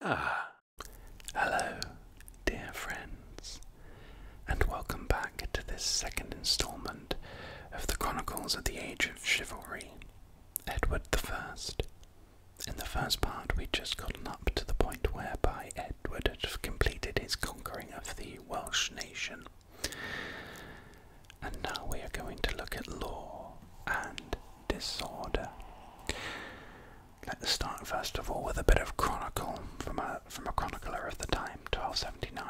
Ah, hello, dear friends, and welcome back to this second instalment of the Chronicles of the Age of Chivalry, Edward the First. In the first part, we just gotten up to the point whereby Edward had completed his conquering of the Welsh nation. And now we are going to look at law and disorder. Let's start first of all with a bit of chronicle from a from a chronicler of the time, 1279.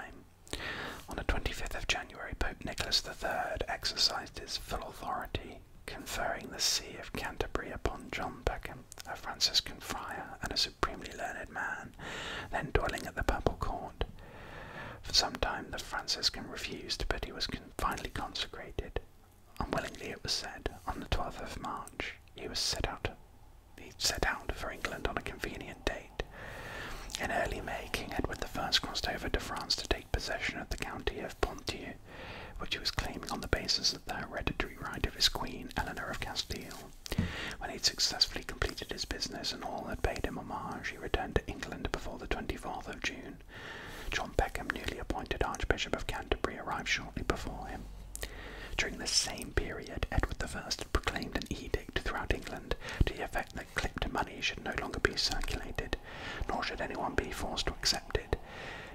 On the 25th of January, Pope Nicholas III exercised his full authority, conferring the see of Canterbury upon John Peckham, a Franciscan friar and a supremely learned man, then dwelling at the papal court. For some time the Franciscan refused, but he was finally consecrated. Unwillingly, it was said, on the 12th of March, he was set out. He set out for England on a convenient date. In early May, King Edward I crossed over to France to take possession of the county of Ponthieu, which he was claiming on the basis of the hereditary right of his queen, Eleanor of Castile. When he had successfully completed his business and all had paid him homage, he returned to England before the 24th of June. John Peckham, newly appointed Archbishop of Canterbury, arrived shortly before him. During this same period, Edward I proclaimed an edict throughout England to the effect that clipped money should no longer be circulated, nor should anyone be forced to accept it.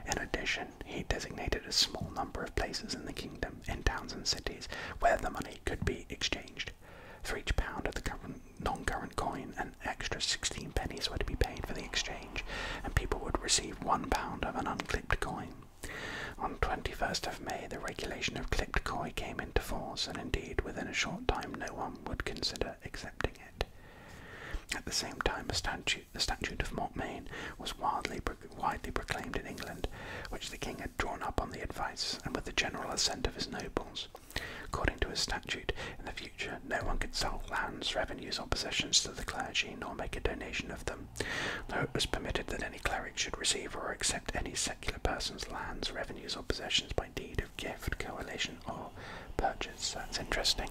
In addition, he designated a small number of places in the kingdom, in towns and cities, where the money could be exchanged. For each pound of the current non-current coin, an extra 16 pennies were to be paid for the exchange, and people would receive one pound of an unclipped coin. On 21st of May, the regulation of clipped coin came into force, and indeed, within a short time, no one would consider accepting it. At the same time, the Statute of Mortmain was wildly, widely proclaimed in England, which the king had drawn up on the advice and with the general assent of his nobles. According to a statute, in the future no one could sell lands, revenues, or possessions to the clergy nor make a donation of them, though it was permitted that any cleric should receive or accept any secular person's lands, revenues, or possessions by deed of gift, coalition, or purchase. That's interesting.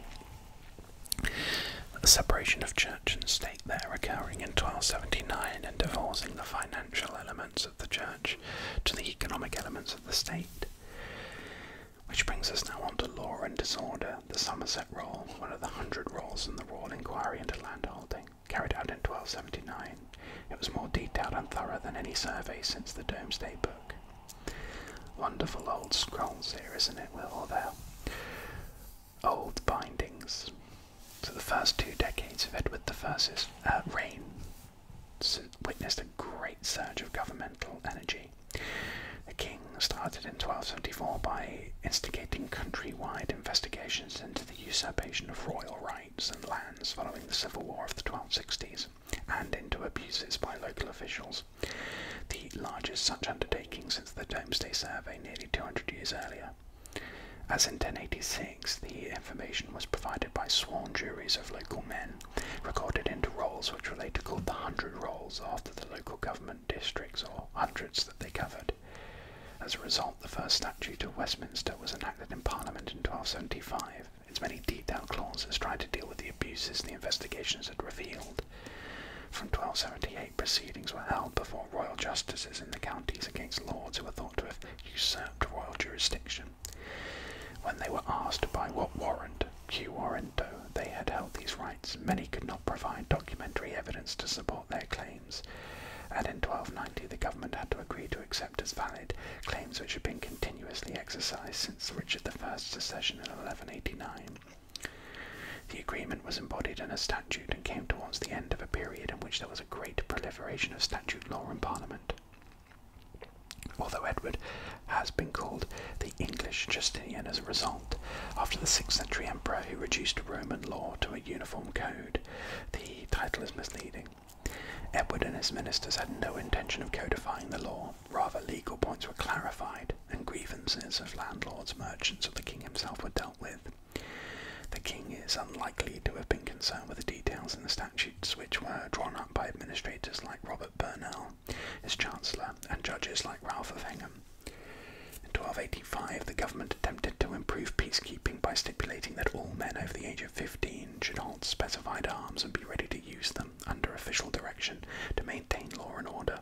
The separation of church and state there occurring in 1279 and divorcing the financial elements of the church to the economic elements of the state. Which brings us now on to Law and Disorder, the Somerset Roll, one of the hundred rolls in the Royal Inquiry into Landholding, carried out in 1279. It was more detailed and thorough than any survey since the Domesday Book. Wonderful old scrolls here, isn't it? With all their old bindings. So the first two decades of Edward I's uh, reign witnessed a great surge of governmental energy. The king started in 1274 by instigating countrywide investigations into the usurpation of royal rights and lands following the civil war of the 1260s and into abuses by local officials, the largest such undertaking since the Domesday Survey nearly 200 years earlier. As in 1086, the information was provided by sworn juries of local men recorded into rolls which were later called the hundred rolls after the local government districts or hundreds that they covered. As a result, the first statute of Westminster was enacted in Parliament in 1275. Its many detailed clauses tried to deal with the abuses the investigations had revealed. From 1278, proceedings were held before royal justices in the counties against lords who were thought to have usurped royal jurisdiction. When they were asked by what warrant Quarento, they had held these rights. Many could not provide documentary evidence to support their claims, and in 1290 the government had to agree to accept as valid claims which had been continuously exercised since Richard I's accession in 1189. The agreement was embodied in a statute and came towards the end of a period in which there was a great proliferation of statute law in Parliament. Although Edward has been called the English Justinian as a result, after the 6th century emperor who reduced Roman law to a uniform code, the title is misleading. Edward and his ministers had no intention of codifying the law, rather, legal points were clarified and grievances of landlords, merchants, or the king himself were dealt with. The king is unlikely to have been concerned with the details in the statutes which were drawn up by administrators like Robert Burnell as chancellor, and judges like Ralph of Hingham. In 1285, the government attempted to improve peacekeeping by stipulating that all men over the age of 15 should hold specified arms and be ready to use them under official direction to maintain law and order.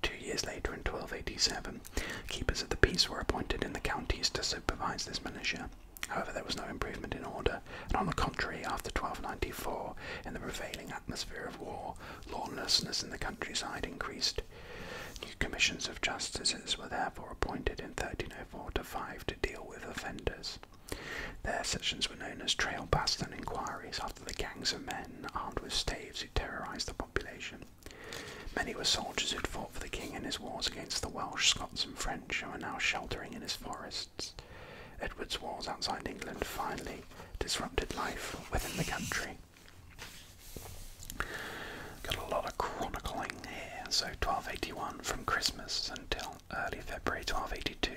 Two years later, in 1287, keepers of the peace were appointed in the counties to supervise this militia. However, there was no improvement in order, and on the contrary, after 1294, in the prevailing atmosphere of war, lawlessness in the countryside increased. New commissions of justices were therefore appointed in 1304 5 to deal with offenders. Their sessions were known as trail baston inquiries after the gangs of men armed with staves who terrorised the population. Many were soldiers who had fought for the king in his wars against the Welsh, Scots, and French, and were now sheltering in his forests. Edward's wars outside England finally disrupted life within the country. Got a lot of chronicling here. So 1281 from Christmas until early February 1282,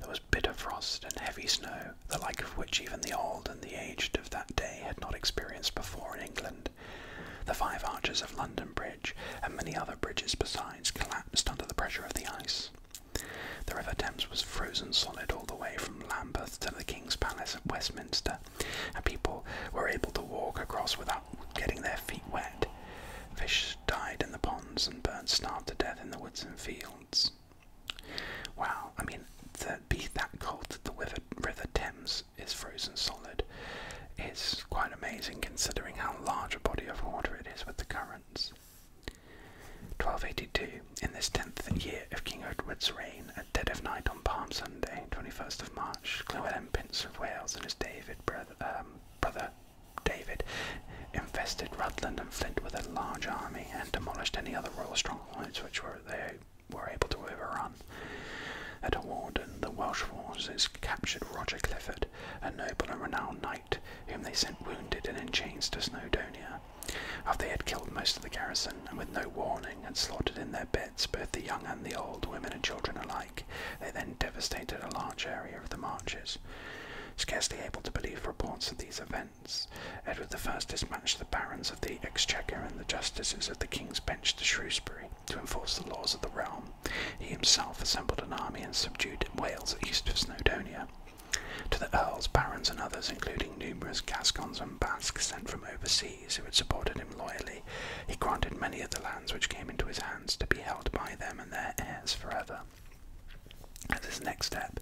there was bitter frost and heavy snow, the like of which even the old and the aged of that day had not experienced before in England. The five arches of London Bridge and many other bridges besides collapsed under the pressure of the ice. The River Thames was frozen solid all the way from Lambeth to the King's Palace at Westminster, and people were able to walk across without getting their feet wet. Fish died in the ponds and birds starved to death in the woods and fields. Well, I mean, to be that cold that the river, river Thames is frozen solid is quite amazing considering how large a body of water it is with the currents. 1282, in this tenth year of King Edward's reign, at dead of night on Palm Sunday, 21st of March, Llewellyn, Prince of Wales, and his David brother, um, David invested Rutland and Flint with a large army and demolished any other royal strongholds which they were able to overrun. At Hawarden, the Welsh forces captured Roger Clifford, a noble and renowned knight whom they sent wounded and in chains to Snowdonia. After they had killed most of the garrison, and with no warning had slaughtered in their beds both the young and the old, women and children alike, they then devastated a large area of the marches. Scarcely able to believe reports of these events, Edward I dispatched the barons of the Exchequer and the justices of the King's Bench to Shrewsbury to enforce the laws of the realm. He himself assembled an army and subdued Wales east of Snowdonia. To the earls, barons, and others, including numerous Gascons and Basques sent from overseas who had supported him loyally, he granted many of the lands which came into his hands to be held by them and their heirs forever. As his next step,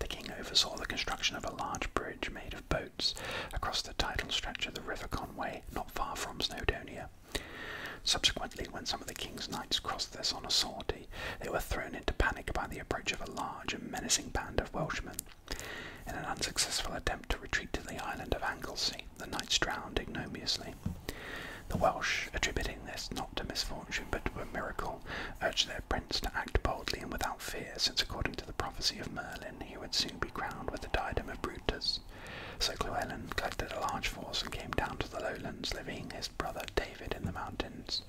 the king oversaw the construction of a large bridge made of boats across the tidal stretch of the River Conway, not far from Snowdonia. Subsequently, when some of the king's knights crossed this on a sortie, they were thrown into panic by the approach of a large and menacing band of Welshmen. In an unsuccessful attempt to retreat to the island of Anglesey, the knights drowned ignominiously. The Welsh, attributing this not to misfortune but to a miracle, urged their prince to act boldly and without fear, since according to the prophecy of Merlin, he would soon be crowned with the diadem of Brutus. So Llewellyn collected a large force and came down to the lowlands, leaving his brother David in the mountains.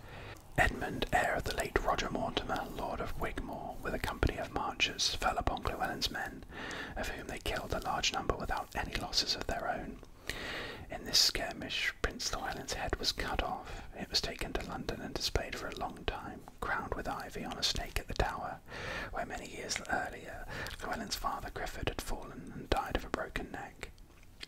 Edmund, heir of the late Roger Mortimer, Lord of Wigmore, with a company of marchers, fell upon Llewellyn's men, of whom they killed a large number without any losses of their own. In this skirmish, Prince Llewellyn's head was cut off. It was taken to London and displayed for a long time, crowned with ivy on a stake at the Tower, where many years earlier Llewellyn's father Griffith had fallen and died of a broken neck.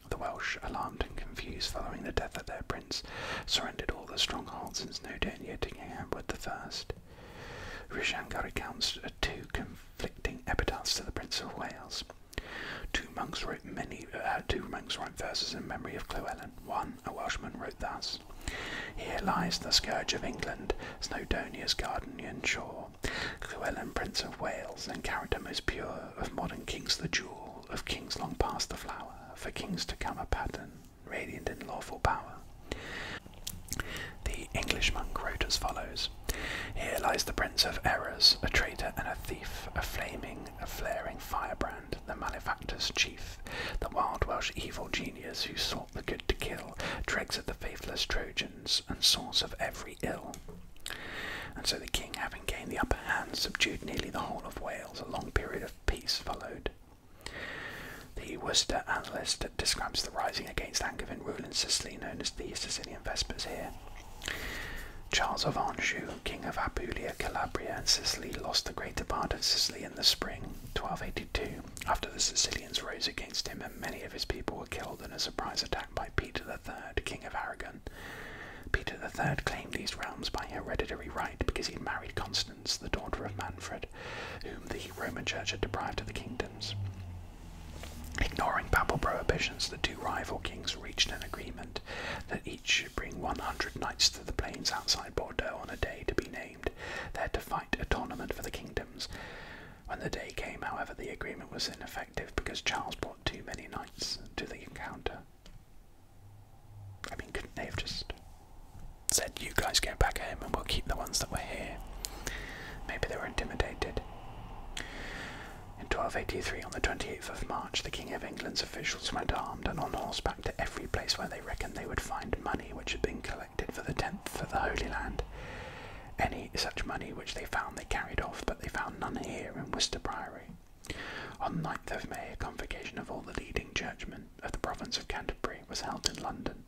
The Welsh, alarmed and confused following the death of their prince, surrendered all their strongholds in Snowdonia to King Edward I. Rishangar recounts two conflicting epitaphs to the Prince of Wales. Two monks wrote many. Uh, two monks wrote verses in memory of Llewellyn. One, a Welshman, wrote thus: "Here lies the scourge of England, Snowdonia's Gardenian shore. Llewellyn, Prince of Wales, and character most pure, of modern kings the jewel, of kings long past the flower, for kings to come a pattern, radiant in lawful power. The English monk wrote as follows Here lies the prince of errors, a traitor and a thief, a flaming, a flaring firebrand, the malefactor's chief, the wild Welsh evil genius who sought the good to kill, dregs of the faithless Trojans, and source of every ill. And so the king, having gained the upper hand, subdued nearly the whole of Wales. A long period of peace followed. The Worcester analyst describes the rising against Angevin rule in Sicily, known as the Sicilian Vespers here. Charles of Anjou, king of Apulia, Calabria, and Sicily, lost the greater part of Sicily in the spring 1282 after the Sicilians rose against him, and many of his people were killed in a surprise attack by Peter III, king of Aragon. Peter III claimed these realms by hereditary right because he had married Constance, the daughter of Manfred, whom the Roman Church had deprived of the kingdoms. Ignoring papal prohibitions, the two rival kings reached an agreement that each should bring 100 knights to the plains outside Bordeaux on a day to be named, there to fight a tournament for the kingdoms. When the day came, however, the agreement was ineffective because Charles too many knights to the encounter. I mean, couldn't they have just said, you guys go back home and we'll keep the ones that were here? Maybe they were intimidated. In 1283, on the 28th of March, the King of England's officials went armed and on horseback to every place where they reckoned they would find money which had been collected for the tenth for the Holy Land. Any such money which they found they carried off, but they found none here in Worcester Priory on 9th of May, a convocation of all the leading churchmen of the province of Canterbury was held in London.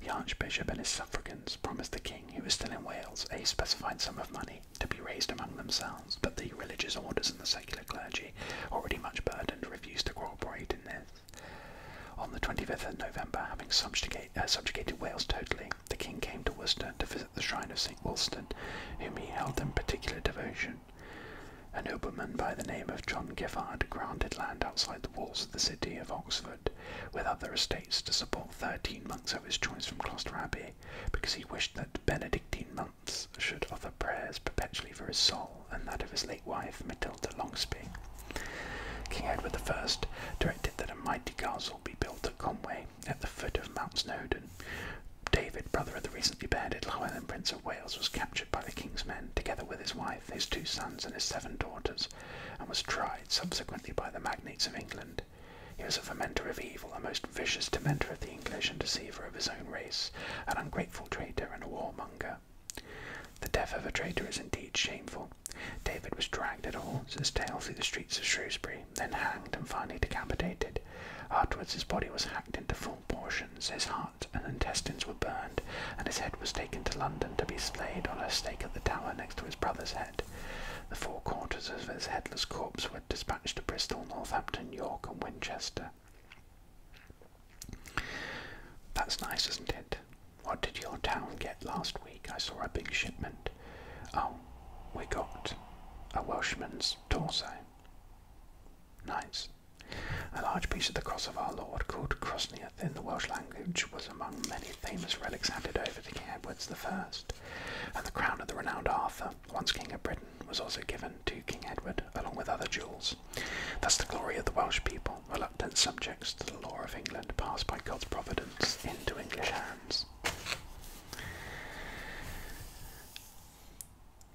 The Archbishop and his suffragans promised the King, who was still in Wales, a specified sum of money to be raised among themselves, but the religious orders and the secular clergy, already much burdened, refused to cooperate in this. On the 25th of November, having uh, subjugated Wales totally, the King came to Worcester to visit the shrine of St. Wulstan, whom he held in particular devotion. A nobleman by the name of John Giffard granted land outside the walls of the city of Oxford, with other estates to support thirteen monks of his choice from Gloucester Abbey, because he wished that Benedictine monks should offer prayers perpetually for his soul and that of his late wife, Matilda Longspee. King Edward I directed that a mighty castle be built at Conway, at the foot of Mount Snowdon. David, brother of the recently beheaded Llewellyn Prince of Wales, was captured by the king's men, together with his wife, his two sons, and his seven daughters, and was tried subsequently by the magnates of England. He was a fomenter of evil, a most vicious tormentor of the English, and deceiver of his own race, an ungrateful traitor, and a warmonger. The death of a traitor is indeed shameful. David was dragged at all horse's tail through the streets of Shrewsbury, then hanged and finally decapitated. Afterwards, his body was hacked into four portions, his heart and intestines were burned, and his head was taken to London to be slayed on a stake at the tower next to his brother's head. The four quarters of his headless corpse were dispatched to Bristol, Northampton, York, and Winchester. That's nice, isn't it? What did your town get last week? I saw a big shipment it. Oh, we got a Welshman's torso. Nice. A large piece of the cross of our Lord, called Crosniath in the Welsh language, was among many famous relics handed over to King Edward the First. and the crown of the renowned Arthur, once King of Britain, was also given to King Edward, along with other jewels. Thus the glory of the Welsh people, reluctant subjects to the law of England, passed by God's providence into English hands.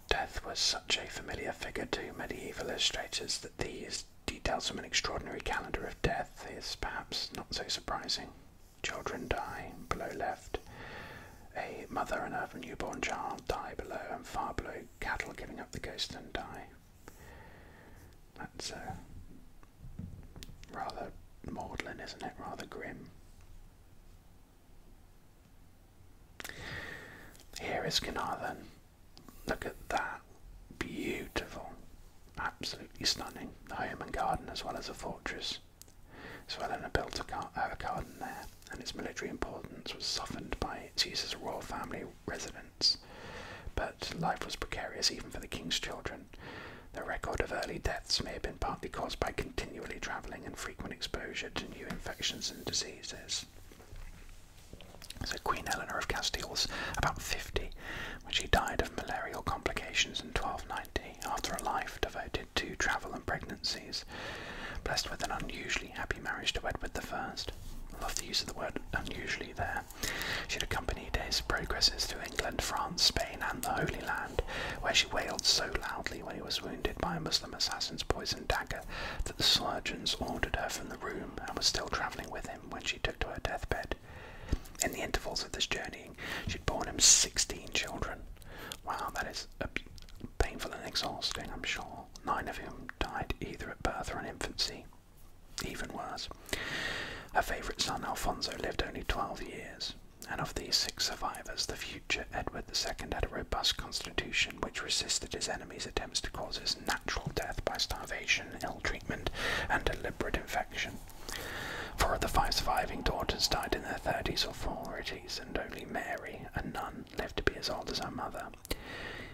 Death was such a familiar figure to medieval illustrators that these details from an extraordinary calendar of death is perhaps not so surprising. Children die below left. A mother and her newborn child die below, and far below, cattle giving up the ghost and die. That's uh, rather maudlin, isn't it? Rather grim. Here is Kanaa Look at that. Beautiful. Absolutely stunning. home and garden as well as a fortress. So Eleanor built a garden there, and its military importance was softened by its use as a royal family residence. But life was precarious even for the king's children. The record of early deaths may have been partly caused by continually travelling and frequent exposure to new infections and diseases. So, Queen Eleanor of Castile was about 50 when she died of malarial complications in 1290 after a life devoted to travel and pregnancies. Blessed with an unusually happy marriage to Edward I. I love the use of the word unusually there. She'd accompanied his progresses through England, France, Spain, and the Holy Land, where she wailed so loudly when he was wounded by a Muslim assassin's poisoned dagger that the surgeons ordered her from the room and was still travelling with him when she took to her deathbed. In the intervals of this journeying, she'd borne him 16 children. Wow, that is painful and exhausting, I'm sure. Nine of whom died either at birth or in infancy. Even worse. Her favourite son, Alfonso, lived only 12 years. And of these six survivors, the future Edward II had a robust constitution which resisted his enemies' attempts to cause his natural death by starvation, ill treatment, and deliberate infection. Four of the five surviving daughters died in their 30s or 40s, and only Mary, a nun, lived to be as old as her mother.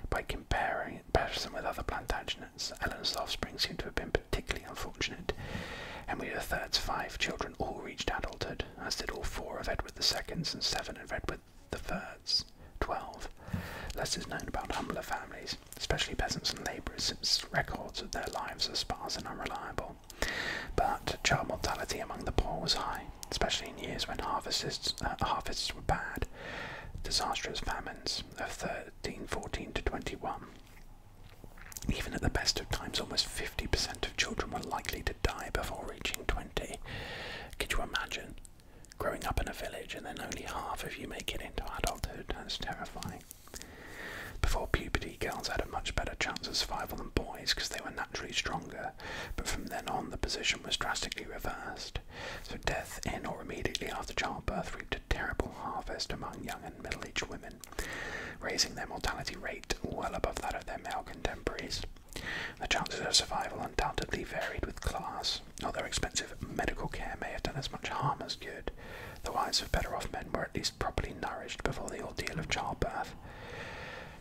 By comparing comparison with other Plantagenets, Eleanor's offspring seem to have been particularly really unfortunate. Henry III's five children all reached adulthood, as did all four of Edward II's and seven of Edward III's, 12. Less is known about humbler families, especially peasants and labourers, since records of their lives are sparse and unreliable. But child mortality among the poor was high, especially in years when harvests, uh, harvests were bad. Disastrous famines of 1314 to 21 even at the best of times, almost 50% of children were likely to die before reaching 20. Could you imagine growing up in a village and then only half of you make it into adulthood? That's terrifying. Before puberty, girls had a much better chance of survival than boys because they were naturally stronger, but from then on the position was drastically reversed. So death in or immediately after childbirth reaped a terrible harvest among young and middle aged women, raising their mortality rate well above that of their male contemporaries. The chances of survival undoubtedly varied with class, although expensive medical care may have done as much harm as good. The wives of better off men were at least properly nourished before the ordeal of childbirth.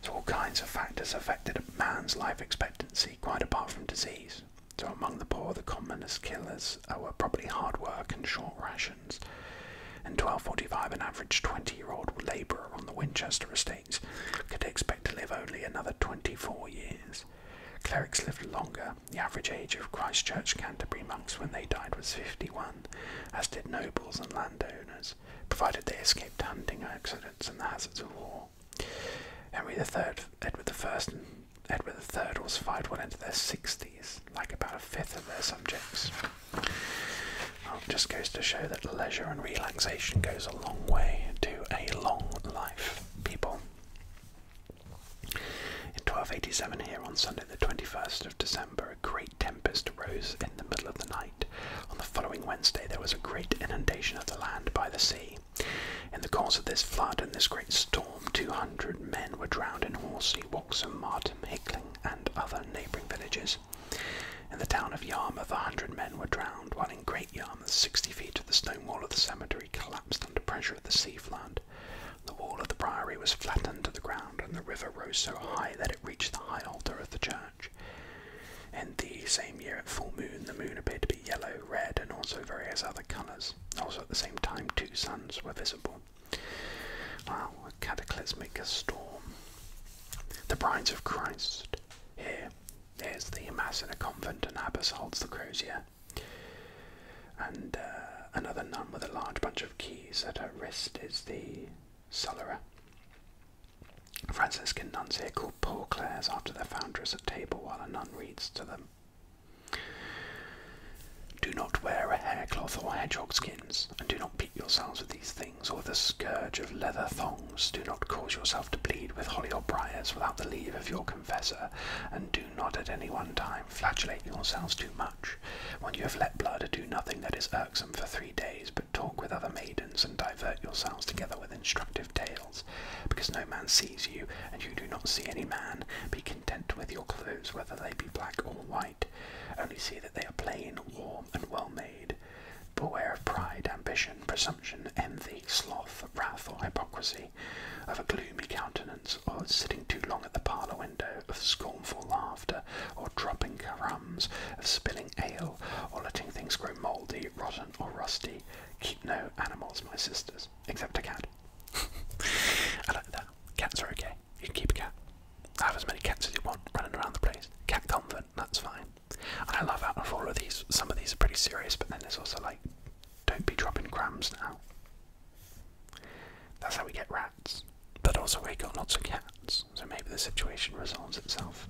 So, all kinds of factors affected a man's life expectancy, quite apart from disease. So, among the poor, the commonest killers were probably hard work and short rations. In 1245, an average 20 year old labourer on the Winchester estates could expect to live only another 24 years. Clerics lived longer. The average age of Christchurch Canterbury monks when they died was 51, as did nobles and landowners, provided they escaped hunting accidents and the hazards of war. Henry III, Edward I, and Edward III all fired well into their 60s, like about a fifth of their subjects. Well, um, just goes to show that leisure and relaxation goes a long way to a long life, people. In 1287, here on Sunday, the 21st of December, a great tempest arose in the middle of the night. On the following Wednesday, there was a great inundation of the land by the sea. In the course of this flood and this great storm, 200 men were drowned in Horsey, Waxham, Martin, Hickling, and other neighbouring villages. In the town of Yarmouth, a hundred men were drowned, while in Great Yarmouth, sixty feet of the stone wall of the cemetery collapsed under pressure of the sea flood. The wall of the priory was flattened to the ground, and the river rose so high that it reached the high altar of the church. In the same year, at full moon, the moon appeared to be yellow, red, and also various other colours. Also, at the same time, two suns were visible. Wow, cataclysmic a storm. The brides of Christ. Here, there's the mass in a convent, and abbess holds the crozier. And uh, another nun with a large bunch of keys at her wrist is the cellarer. Franciscan nuns here called Poor Clares after their foundress at table while a nun reads to them. Do not wear a haircloth or hedgehog skin and do not beat yourselves with these things, or with the scourge of leather thongs. Do not cause yourself to bleed with holly or briars without the leave of your confessor, and do not at any one time flagellate yourselves too much. When you have let blood, do nothing that is irksome for three days, but talk with other maidens, and divert yourselves together with instructive tales. Because no man sees you, and you do not see any man, be content with your clothes, whether they be black or white only see that they are plain, warm, and well made. Beware of pride, ambition, presumption, envy, sloth, wrath, or hypocrisy, of a gloomy countenance, or sitting too long at the parlour window, of scornful laughter, or dropping crumbs, of spilling ale, or letting things grow mouldy, rotten, or rusty. Keep no animals, my sisters, except a cat. I like that. Cats are okay. You can keep a cat have as many cats as you want running around the place. Cat comfort, that's fine. And I love that. of all of these, some of these are pretty serious, but then there's also like, don't be dropping crumbs now. That's how we get rats. But also we got lots of cats, so maybe the situation resolves itself.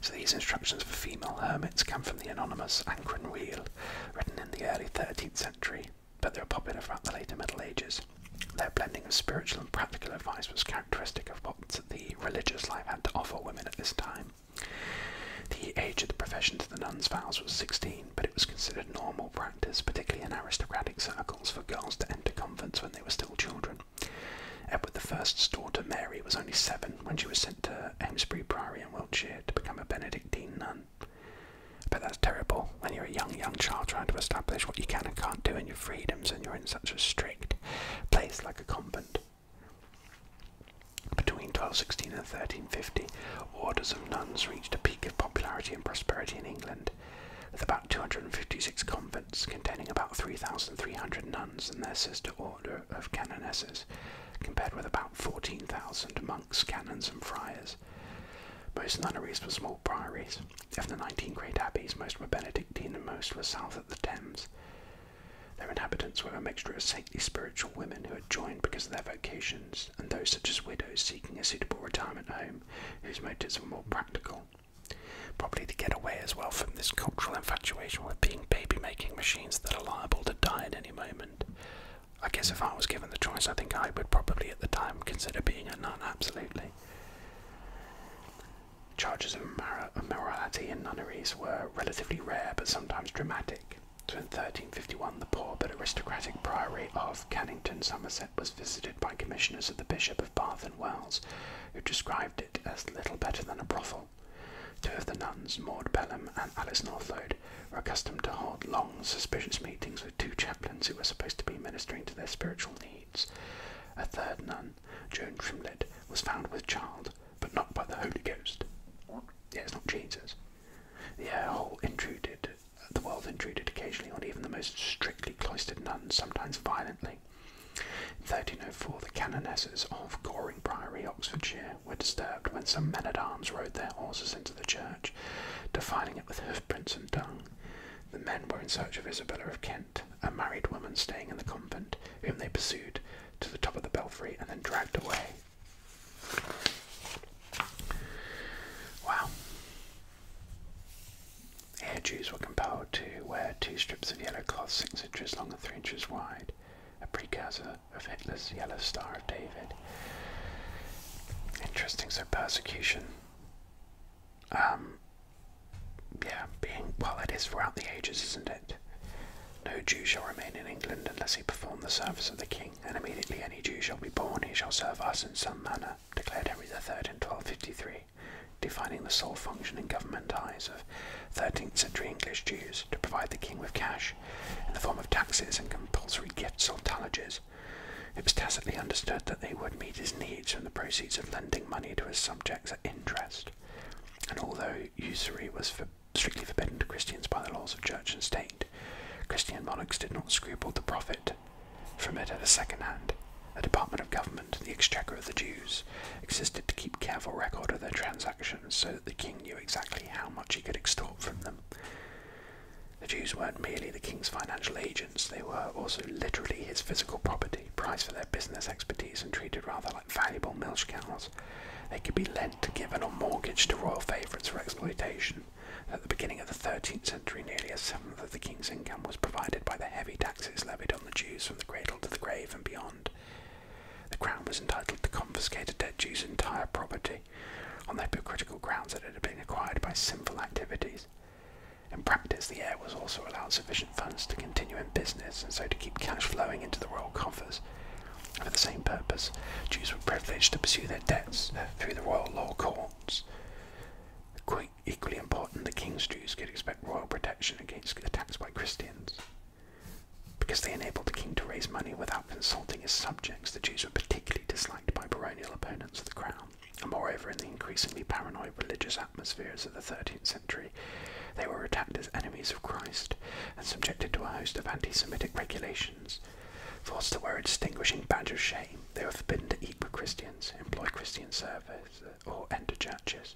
So these instructions for female hermits come from the anonymous Anchor and written in the early 13th century, but they were popular throughout the later Middle Ages. Their blending of spiritual and practical advice was characteristic of what the religious life had to offer women at this time. The age of the profession to the nuns' vows was 16, but it was considered normal practice, particularly in aristocratic circles, for girls to enter convents when they were still children. Edward I's daughter Mary was only seven when she was sent to Amesbury Priory in Wiltshire to become a Benedictine nun. But that's terrible when you're a young, young child trying to establish what you can and can't do in your freedoms and you're in such a strict place like a convent. Between 1216 and 1350, orders of nuns reached a peak of popularity and prosperity in England, with about 256 convents containing about 3,300 nuns and their sister order of canonesses, compared with about 14,000 monks, canons, and friars. Most nunneries were small priories. Of the 19 great abbeys, most were Benedictine and most were south of the Thames. Their inhabitants were a mixture of saintly spiritual women who had joined because of their vocations, and those such as widows seeking a suitable retirement home whose motives were more practical. Probably to get away as well from this cultural infatuation with being baby making machines that are liable to die at any moment. I guess if I was given the choice, I think I would probably at the time consider being a nun, absolutely. Charges of immorality in nunneries were relatively rare but sometimes dramatic. So in 1351, the poor but aristocratic priory of Cannington, Somerset, was visited by commissioners of the Bishop of Bath and Wells, who described it as little better than a brothel. Two of the nuns, Maud Pelham and Alice Northlode, were accustomed to hold long, suspicious meetings with two chaplains who were supposed to be ministering to their spiritual needs. A third nun, Joan Trimlett, was found with child, but not by the Holy Ghost. Yeah, it's not Jesus. The air intruded, the world intruded occasionally on even the most strictly cloistered nuns, sometimes violently. In 1304, the canonesses of Goring Priory, Oxfordshire, were disturbed when some men at arms rode their horses into the church, defiling it with hoofprints and dung. The men were in search of Isabella of Kent a married woman staying in the convent, whom they pursued to the top of the belfry and then dragged away. Wow. Here, Jews were compelled to wear two strips of yellow cloth six inches long and three inches wide, a precursor of Hitler's Yellow Star of David. Interesting, so persecution. Um, yeah, being well, it is throughout the ages, isn't it? No Jew shall remain in England unless he perform the service of the king, and immediately any Jew shall be born, he shall serve us in some manner, declared Henry III in 1253, defining the sole function in government eyes of 13th century English Jews to provide the king with cash in the form of taxes and compulsory gifts or tallages it was tacitly understood that they would meet his needs from the proceeds of lending money to his subjects at interest, and although usury was strictly forbidden to Christians by the laws of church and state, Christian monarchs did not scruple to profit from it at a second hand. A department of government, the Exchequer of the Jews, existed to keep careful record of their transactions so that the king knew exactly how much he could extort from them. The Jews weren't merely the king's financial agents they were also literally his physical property, prized for their business expertise and treated rather like valuable milch cows. They could be lent, given, or mortgaged to royal favourites for exploitation. At the beginning of the 13th century, nearly a seventh of the king's income was provided by the heavy taxes levied on the Jews from the cradle to the grave and beyond. The crown was entitled to confiscate a dead Jew's entire property on the hypocritical grounds that it had been acquired by sinful activities. In practice, the heir was also allowed sufficient funds to continue in business and so to keep cash flowing into the royal coffers. For the same purpose, Jews were privileged to pursue their debts through the royal law courts. equally important, the king's Jews could expect royal protection against attacks by Christians. Because they enabled the king to raise money without consulting his subjects, the Jews were particularly disliked by baronial opponents of the crown. Moreover, in the increasingly paranoid religious atmospheres of the 13th century, they were attacked as enemies of Christ and subjected to a host of anti Semitic regulations. Forced to wear a distinguishing badge of shame, they were forbidden to eat with Christians, employ Christian servants, uh, or enter churches.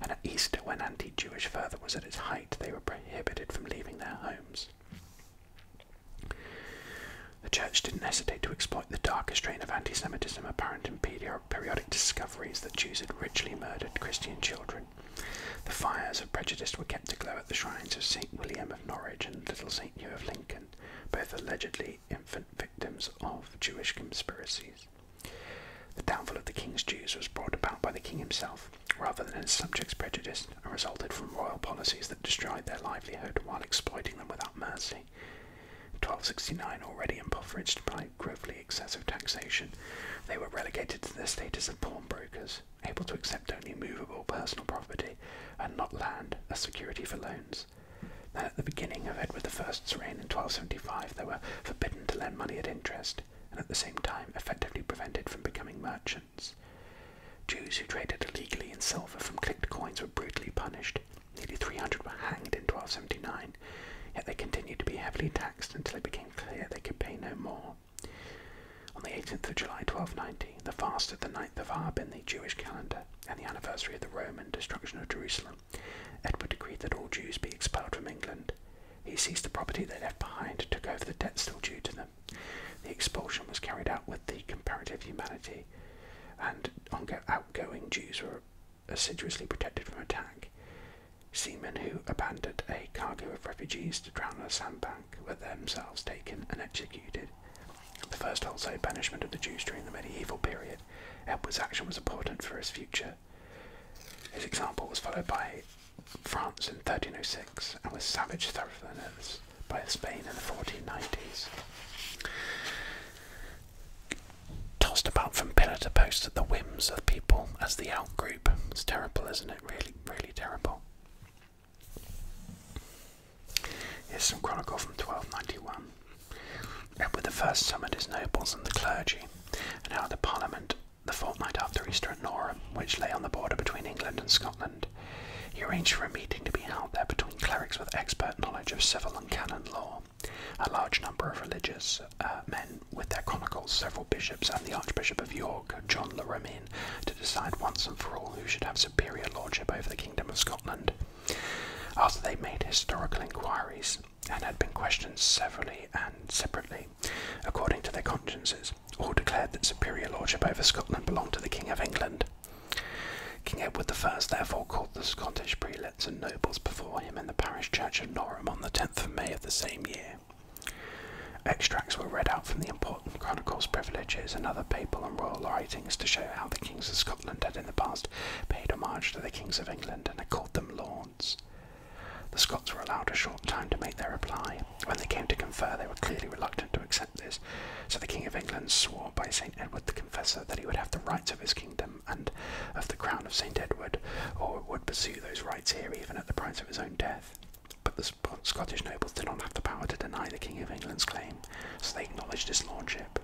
And at Easter, when anti Jewish fervour was at its height, they were prohibited from leaving their homes. The Church didn't hesitate to exploit the darker strain of anti Semitism apparent in periodic discoveries that Jews had ritually murdered Christian children. The fires of prejudice were kept aglow at the shrines of St. William of Norwich and Little St. Hugh of Lincoln, both allegedly infant victims of Jewish conspiracies. The downfall of the king's Jews was brought about by the king himself, rather than his subjects' prejudice, and resulted from royal policies that destroyed their livelihood while exploiting them without mercy. 1269 already impoverished by grossly excessive taxation, they were relegated to the status of pawnbrokers, able to accept only movable personal property and not land as security for loans. Then at the beginning of Edward I's reign in 1275 they were forbidden to lend money at interest and at the same time effectively prevented from becoming merchants. Jews who traded illegally in silver from clipped coins were brutally punished, Nearly 300 were hanged in 1279, yet they continued to be heavily taxed until it became clear they could pay no more. On the 18th of July 1290, the fast of the 9th of Ab in the Jewish calendar and the anniversary of the Roman destruction of Jerusalem, Edward decreed that all Jews be expelled from England. He seized the property they left behind and took over the debt still due to them. The expulsion was carried out with the comparative humanity, and outgoing Jews were assiduously protected from attack. Seamen who abandoned a cargo of refugees to drown on a sandbank were themselves taken and executed. The first wholesale banishment of the Jews during the medieval period, Edward's action was important for his future. His example was followed by France in 1306 and with savage thoroughness by Spain in the 1490s tossed about from pillar to post at the whims of people as the outgroup. It's terrible, isn't it? Really, really terrible. Here's some chronicle from 1291. Edward I summoned his nobles and the clergy, and held a parliament the fortnight after Easter at Norham, which lay on the border between England and Scotland. He arranged for a meeting to be held there between clerics with expert knowledge of civil and canon law. A large number of religious uh, men, with their chronicles, several bishops, and the Archbishop of York, John Le Romain, to decide once and for all who should have superior lordship over the Kingdom of Scotland. After they made historical inquiries and had been questioned severally and separately, according to their consciences, all declared that superior lordship over Scotland belonged to the King of England. King Edward I therefore called the Scottish prelates and nobles before him in the parish church of Norham on the 10th of May of the same year. Extracts were read out from the important chronicles, privileges, and other papal and royal writings to show how the kings of Scotland had in the past paid homage to the kings of England and had called them lords. The Scots were allowed a short time to make their reply. When they came to confer, they were clearly reluctant to accept this, so the King of England swore by St. Edward the Confessor that he would have the rights of his kingdom and of the crown of St. Edward, or would pursue those rights here even at the price of his own death. But the Scottish nobles did not have the power to deny the King of England's claim, so they acknowledged his lordship.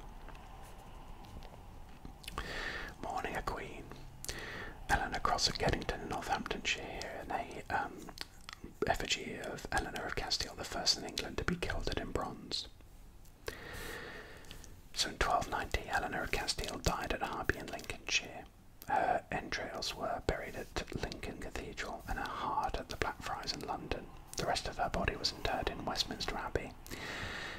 Mourning a Queen. Eleanor Cross of Geddington in Northamptonshire, and a um, effigy of Eleanor of Castile, the first in England to be gilded in bronze. So in 1290, Eleanor of Castile died at Harby in Lincolnshire. Her entrails were buried at Lincoln Cathedral and her heart at the Blackfriars in London. The rest of her body was interred in Westminster Abbey.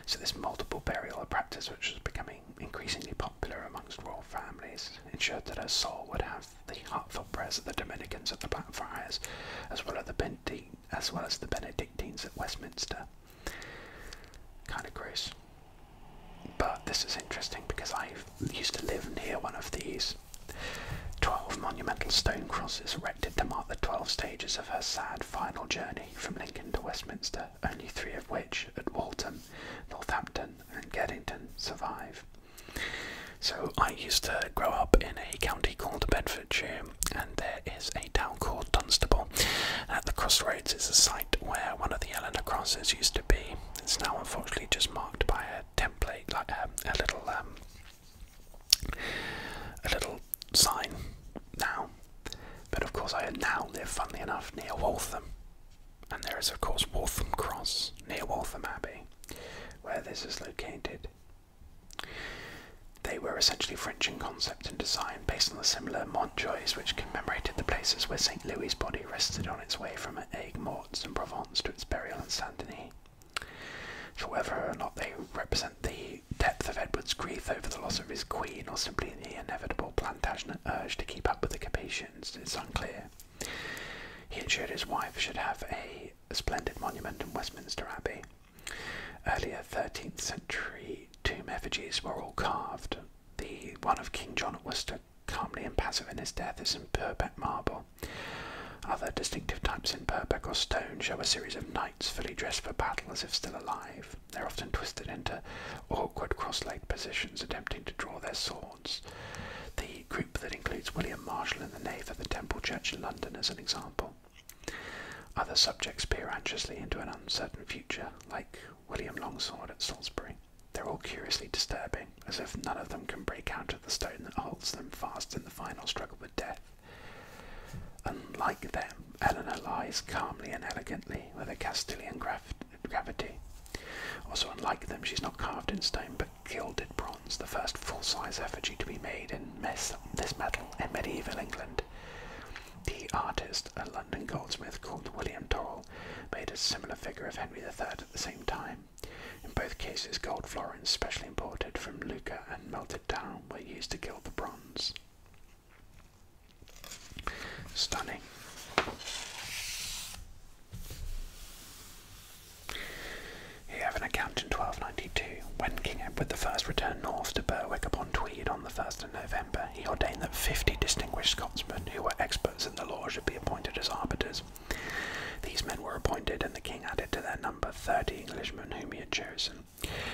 So this multiple burial, practice which was becoming increasingly popular amongst royal families, ensured that her soul would have the heartfelt prayers of the Dominicans at the Blackfriars, as well as the Benedictines at Westminster. Kind of gross. But this is interesting because I used to live near one of these 12 monumental stone crosses erected to mark the 12 stages of her sad final journey from Lincoln to Westminster, only three of which at Walton, Northampton, and Geddington survive. So I used to grow up in a county called Bedfordshire and there is a town called Dunstable. At the crossroads is a site where one of the Eleanor crosses used to be. It's now unfortunately just marked by a template, like um, a little, um, a little sign now. But of course, I now live, funnily enough, near Waltham, and there is of course Waltham Cross near Waltham Abbey, where this is located. They were essentially French in concept and design, based on the similar Montjoys, which commemorated the places where St. Louis' body rested on its way from Aigues Mortes in Provence to its burial in Saint Denis. So whether or not they represent the depth of Edward's grief over the loss of his queen or simply the inevitable Plantagenet urge to keep up with the Capetians it's unclear. He ensured his wife should have a splendid monument in Westminster Abbey. Earlier 13th century tomb effigies were all carved. The one of King John at Worcester, calmly impassive in his death, is in Purbeck marble. Other distinctive types in Purbeck or stone show a series of knights fully dressed for battle as if still alive. They're often twisted into awkward cross-legged positions, attempting to draw their swords. The group that includes William Marshall and the nave of the Temple Church in London as an example. Other subjects peer anxiously into an uncertain future, like William Longsword at Salisbury. They're all curiously disturbing, as if none of them can break out of the stone that holds them fast in the final struggle with death. Unlike them, Eleanor lies calmly and elegantly with a Castilian gravity. Also, unlike them, she's not carved in stone but gilded bronze, the first full size effigy to be made in this metal in medieval England. The artist, a London goldsmith called William Dorrell, made a similar figure of Henry III at the same time. In both cases, gold florins, specially imported from Lucca and melted down, were used to gild the bronze. Stunning. Here have an account in 1292. When King Edward I returned north to Berwick upon Tweed, on the 1st of November, he ordained that 50 distinguished Scotsmen who were experts in the law should be appointed as arbiters. These men were appointed, and the king added to their number 30 Englishmen whom he had chosen.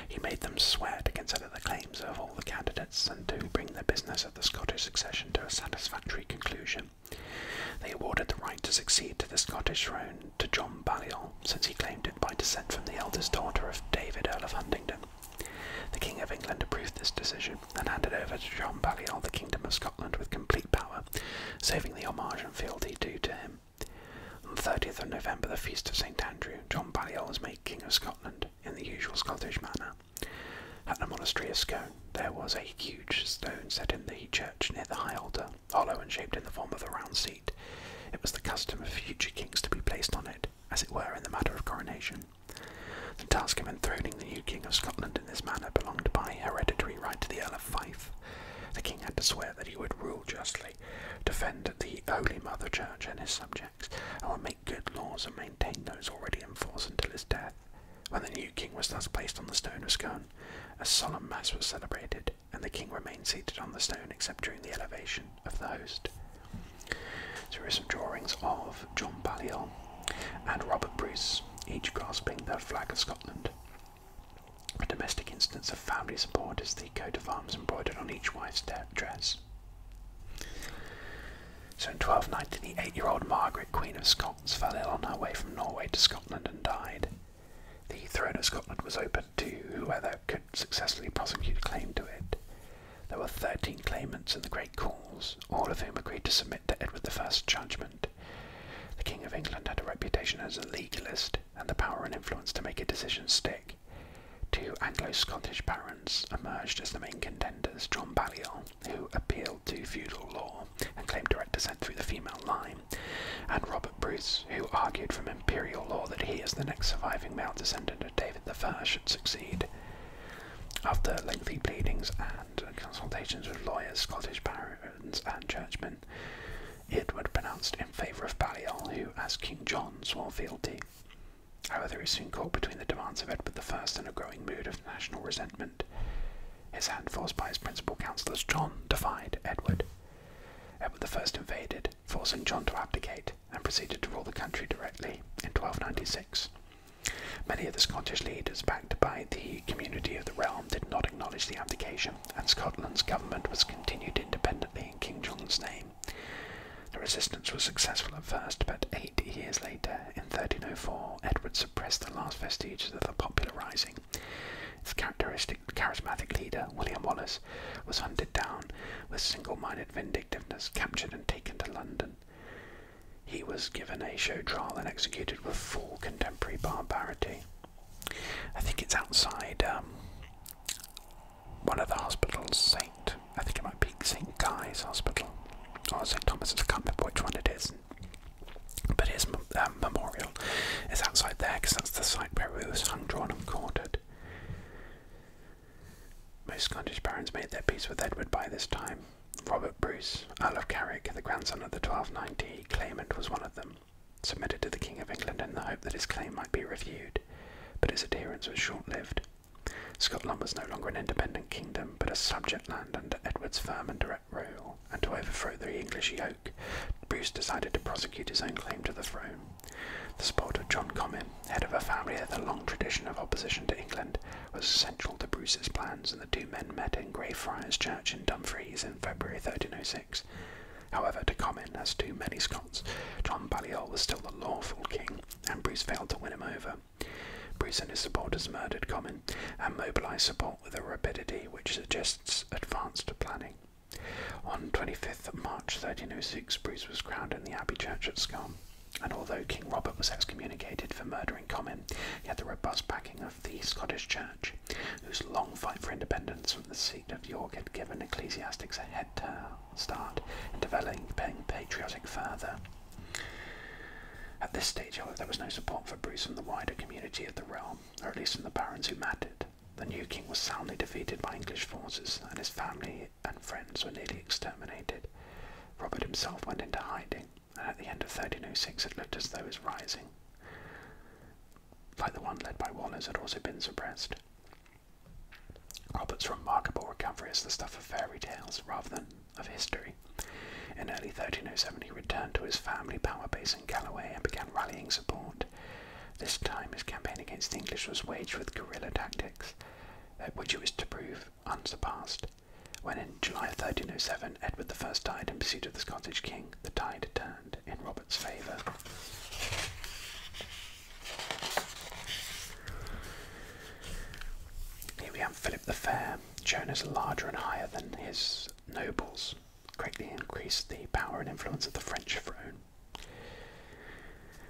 He made them swear to consider the claims of all the candidates and to bring the business of the Scottish succession to a satisfactory conclusion. They awarded the right to succeed to the Scottish throne to John Balliol, since he claimed it by descent from the eldest daughter of David, Earl of Huntingdon. The King of England approved this decision and handed over to John Balliol the Kingdom of Scotland with complete power, saving the homage and fealty due to him. On the 30th of November, the feast of St Andrew, John Balliol was made King of Scotland in the usual Scottish manner. At the monastery of Scone, there was a huge stone set in the church near the high altar, hollow and shaped in the form of a round it was the custom of future kings to be placed on it, as it were in the matter of coronation. The task of enthroning the new King of Scotland in this manner belonged by hereditary right to the Earl of Fife. The king had to swear that he would rule justly, defend the Holy Mother Church and his subjects, and would make good laws and maintain those already in force until his death. When the new king was thus placed on the stone of Scone, a solemn mass was celebrated, and the king remained seated on the stone except during the elevation of the host. So there are some drawings of John Balliol and Robert Bruce, each grasping the flag of Scotland. A domestic instance of family support is the coat of arms embroidered on each wife's dress. So in 1290, the eight-year-old Margaret, Queen of Scotland, fell ill on her way from Norway to Scotland and died. The throne of Scotland was open to whoever could successfully prosecute a claim to it. There were thirteen claimants in the great cause, all of whom agreed to submit to Edward I's judgment. The King of England had a reputation as a legalist and the power and influence to make a decision stick. Two Anglo-Scottish barons emerged as the main contenders, John Balliol, who appealed to feudal law and claimed direct descent through the female line, and Robert. Bruce, who argued from imperial law that he, is the next surviving male descendant of David the First, should succeed. After lengthy pleadings and consultations with lawyers, Scottish barons, and churchmen, Edward pronounced in favour of Baliol, who, as King John, swore fealty. However, he soon caught between the demands of Edward I and a growing mood of national resentment. His hand forced by his principal counsellors, John, defied Edward. Edward I invaded, forcing John to abdicate, and proceeded to rule the country directly in 1296. Many of the Scottish leaders, backed by the community of the realm, did not acknowledge the abdication, and Scotland's government was continued independently in King John's name. The resistance was successful at first, but eight years later, in 1304, Edward suppressed the last vestiges of the popular rising. His characteristic charismatic leader, William Wallace, was hunted down with single-minded vindictiveness, captured and taken to London. He was given a show trial and executed with full contemporary barbarity. I think it's outside um, one of the hospitals, Saint. I think it might be Saint Guy's Hospital or Saint Thomas's. I can't remember which one it is. But his uh, memorial is outside there because that's the site where he was hung, drawn, and quartered. Most Scottish barons made their peace with Edward by this time. Robert Bruce, Earl of Carrick, the grandson of the 1290 claimant, was one of them, submitted to the King of England in the hope that his claim might be reviewed, but his adherence was short lived. Scotland was no longer an independent kingdom, but a subject land under Edward's firm and direct rule, and to overthrow the English yoke, Bruce decided to prosecute his own claim to the throne. The support of John Comyn, head of a family with a long tradition of opposition to England, was central to Bruce's plans, and the two men met in Greyfriars Church in Dumfries in February 1306. However, to Comyn, as to many Scots, John Balliol was still the lawful king, and Bruce failed to win him over. Bruce and his supporters murdered Comyn and mobilised support with a rapidity which suggests advanced planning. On 25th March 1306, Bruce was crowned in the Abbey Church at Scone, and although King Robert was excommunicated for murdering Comyn, he had the robust backing of the Scottish Church, whose long fight for independence from the seat of York had given ecclesiastics a head start in developing patriotic fervour. At this stage, however, there was no support for Bruce from the wider community of the realm, or at least from the barons who mattered. The new king was soundly defeated by English forces, and his family and friends were nearly exterminated. Robert himself went into hiding, and at the end of 1306 it looked as though his rising, like the one led by Wallers had also been suppressed. Robert's remarkable recovery is the stuff of fairy tales rather than of history. In early 1307 he returned to his family power base in Galloway and began rallying support. This time his campaign against the English was waged with guerrilla tactics, uh, which it was to prove unsurpassed. When in July 1307 Edward I died in pursuit of the Scottish king, the tide turned in Robert's favour. Here we have Philip the Fair, shown as larger and higher than his nobles, greatly increased the power and influence of the French throne.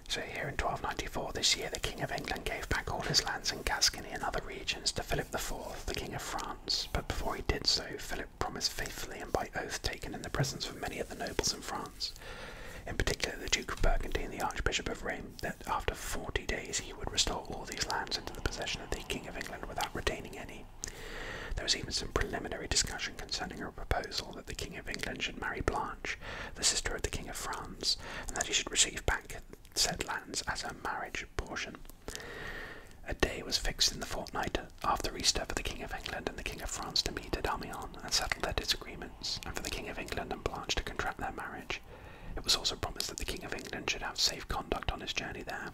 So here in 1294, this year, the King of England gave back all his lands in Gascony and other regions to Philip the Fourth, the King of France. But before he did so, Philip promised faithfully and by oath taken in the presence of many of the nobles in France, in particular the Duke of Burgundy and the Archbishop of Rheims, that after 40 days he would restore all these lands into the possession of the King of England without retaining any. There was even some preliminary discussion concerning a proposal that the King of England should marry Blanche, the sister of the King of France, and that he should receive back said lands as her marriage portion. A day was fixed in the fortnight after Easter for the King of England and the King of France to meet at Amiens and settle their disagreements, and for the King of England and Blanche to contract their marriage. It was also promised that the King of England should have safe conduct on his journey there.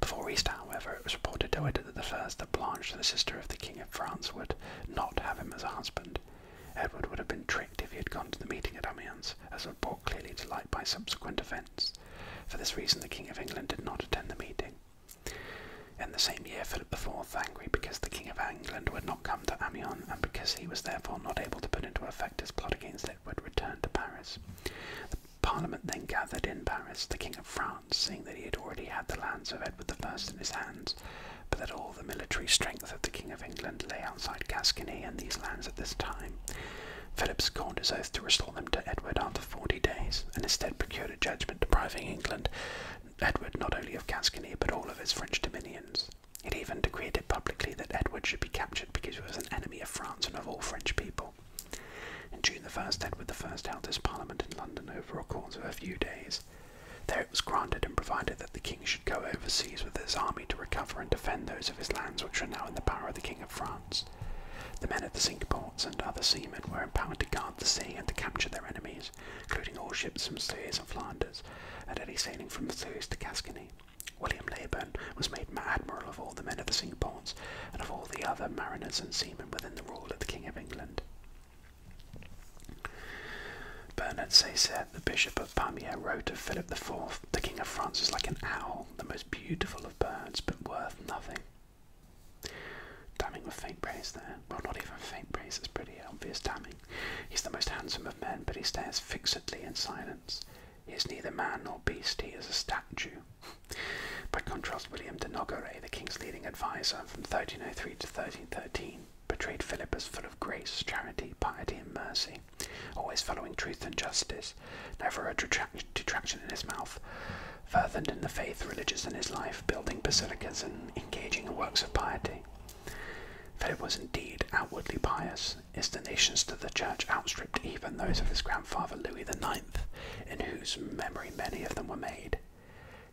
Before Easter, however, it was reported to decided at the first that Blanche, the sister of the King of France, would not have him as a husband. Edward would have been tricked if he had gone to the meeting at Amiens, as was brought clearly to light by subsequent events. For this reason, the King of England did not attend the meeting. In the same year, Philip IV, angry because the King of England would not come to Amiens and because he was therefore not able to put into effect his plot against Edward, returned to Paris. Parliament then gathered in Paris. The King of France, seeing that he had already had the lands of Edward I in his hands, but that all the military strength of the King of England lay outside Gascony and these lands at this time. Philip scorned his oath to restore them to Edward after forty days, and instead procured a judgment depriving England, Edward not only of Gascony but all of his French dominions. It even decreed publicly that Edward should be captured because he was an enemy of France and of all French people. In June the 1st, Edward I held his parliament in London over a course of a few days, there it was granted and provided that the king should go overseas with his army to recover and defend those of his lands which were now in the power of the king of France. The men of the cinque ports and other seamen were empowered to guard the sea and to capture their enemies, including all ships from Suez and Flanders, and any sailing from Suez to Gascony. William Leyburn was made admiral of all the men of the cinque ports and of all the other mariners and seamen within the rule of the king of England. Bernard Sayset, the Bishop of Pamiers, wrote of Philip IV, the King of France is like an owl, the most beautiful of birds, but worth nothing. Damning with faint praise there. Well, not even faint praise, it's pretty obvious damning. He's the most handsome of men, but he stares fixedly in silence. He is neither man nor beast, he is a statue. By contrast, William de Nogaret, the king's leading adviser from 1303 to 1313, portrayed Philip as full of grace, charity, piety, and mercy, always following truth and justice, never a detraction in his mouth, fervent in the faith, religious in his life, building basilicas and engaging in works of piety. Philip was indeed outwardly pious. His donations to the church outstripped even those of his grandfather Louis the Ninth, in whose memory many of them were made.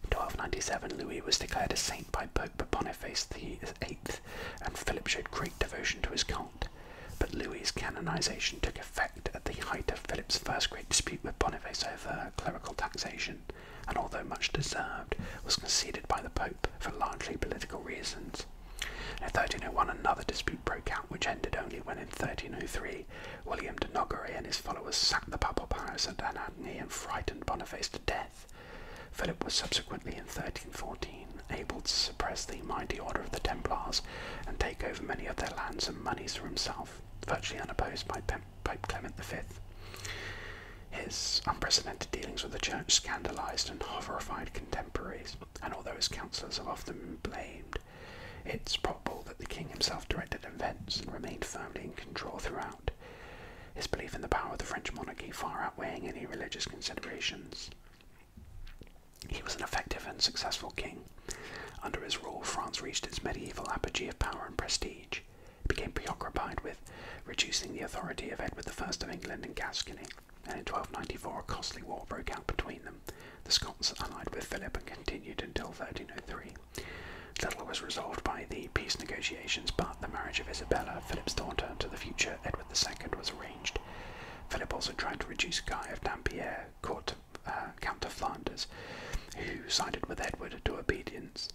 In 1297, Louis was declared a saint by Pope Boniface VIII, and Philip showed great devotion to his cult. But Louis's canonization took effect at the height of Philip's first great dispute with Boniface over clerical taxation, and although much deserved, was conceded by the Pope for largely political reasons. In 1301, another dispute broke out, which ended only when in 1303 William de Nogaret and his followers sacked the papal palace at Ariadne and frightened Boniface to death. Philip was subsequently in 1314 able to suppress the mighty order of the Templars and take over many of their lands and monies for himself, virtually unopposed by Pope Clement V. His unprecedented dealings with the church scandalized and horrified contemporaries, and although his counsellors are often blamed, it's probable that the king himself directed events and remained firmly in control throughout his belief in the power of the French monarchy far outweighing any religious considerations. He was an effective and successful king. Under his rule, France reached its medieval apogee of power and prestige. He became preoccupied with reducing the authority of Edward I of England in Gascony, and in 1294 a costly war broke out between them. The Scots allied with Philip and continued until 1303. Little was resolved by the peace negotiations, but the marriage of Isabella, Philip's daughter, to the future Edward II was arranged. Philip also tried to reduce Guy of Dampierre, uh, Count of Flanders, who sided with Edward to obedience.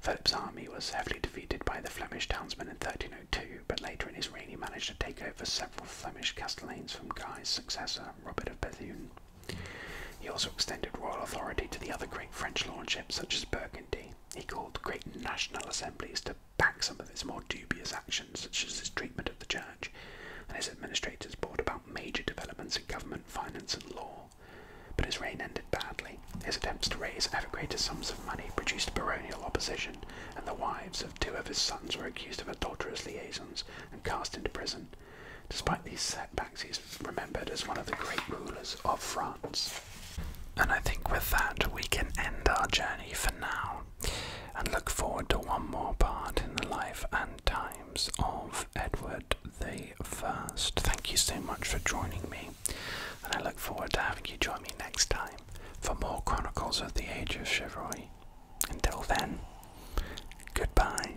Philip's army was heavily defeated by the Flemish townsmen in 1302, but later in his reign he managed to take over several Flemish castellans from Guy's successor, Robert of Bethune. He also extended royal authority to the other great French lordships, such as Burgundy. He called great national assemblies to back some of his more dubious actions, such as his treatment of the church, and his administrators brought about major developments in government, finance, and law. But his reign ended badly. His attempts to raise ever greater sums of money produced baronial opposition, and the wives of two of his sons were accused of adulterous liaisons and cast into prison, Despite these setbacks, he's remembered as one of the great rulers of France. And I think with that, we can end our journey for now and look forward to one more part in the life and times of Edward the First. Thank you so much for joining me, and I look forward to having you join me next time for more Chronicles of the Age of Chivalry. Until then, goodbye.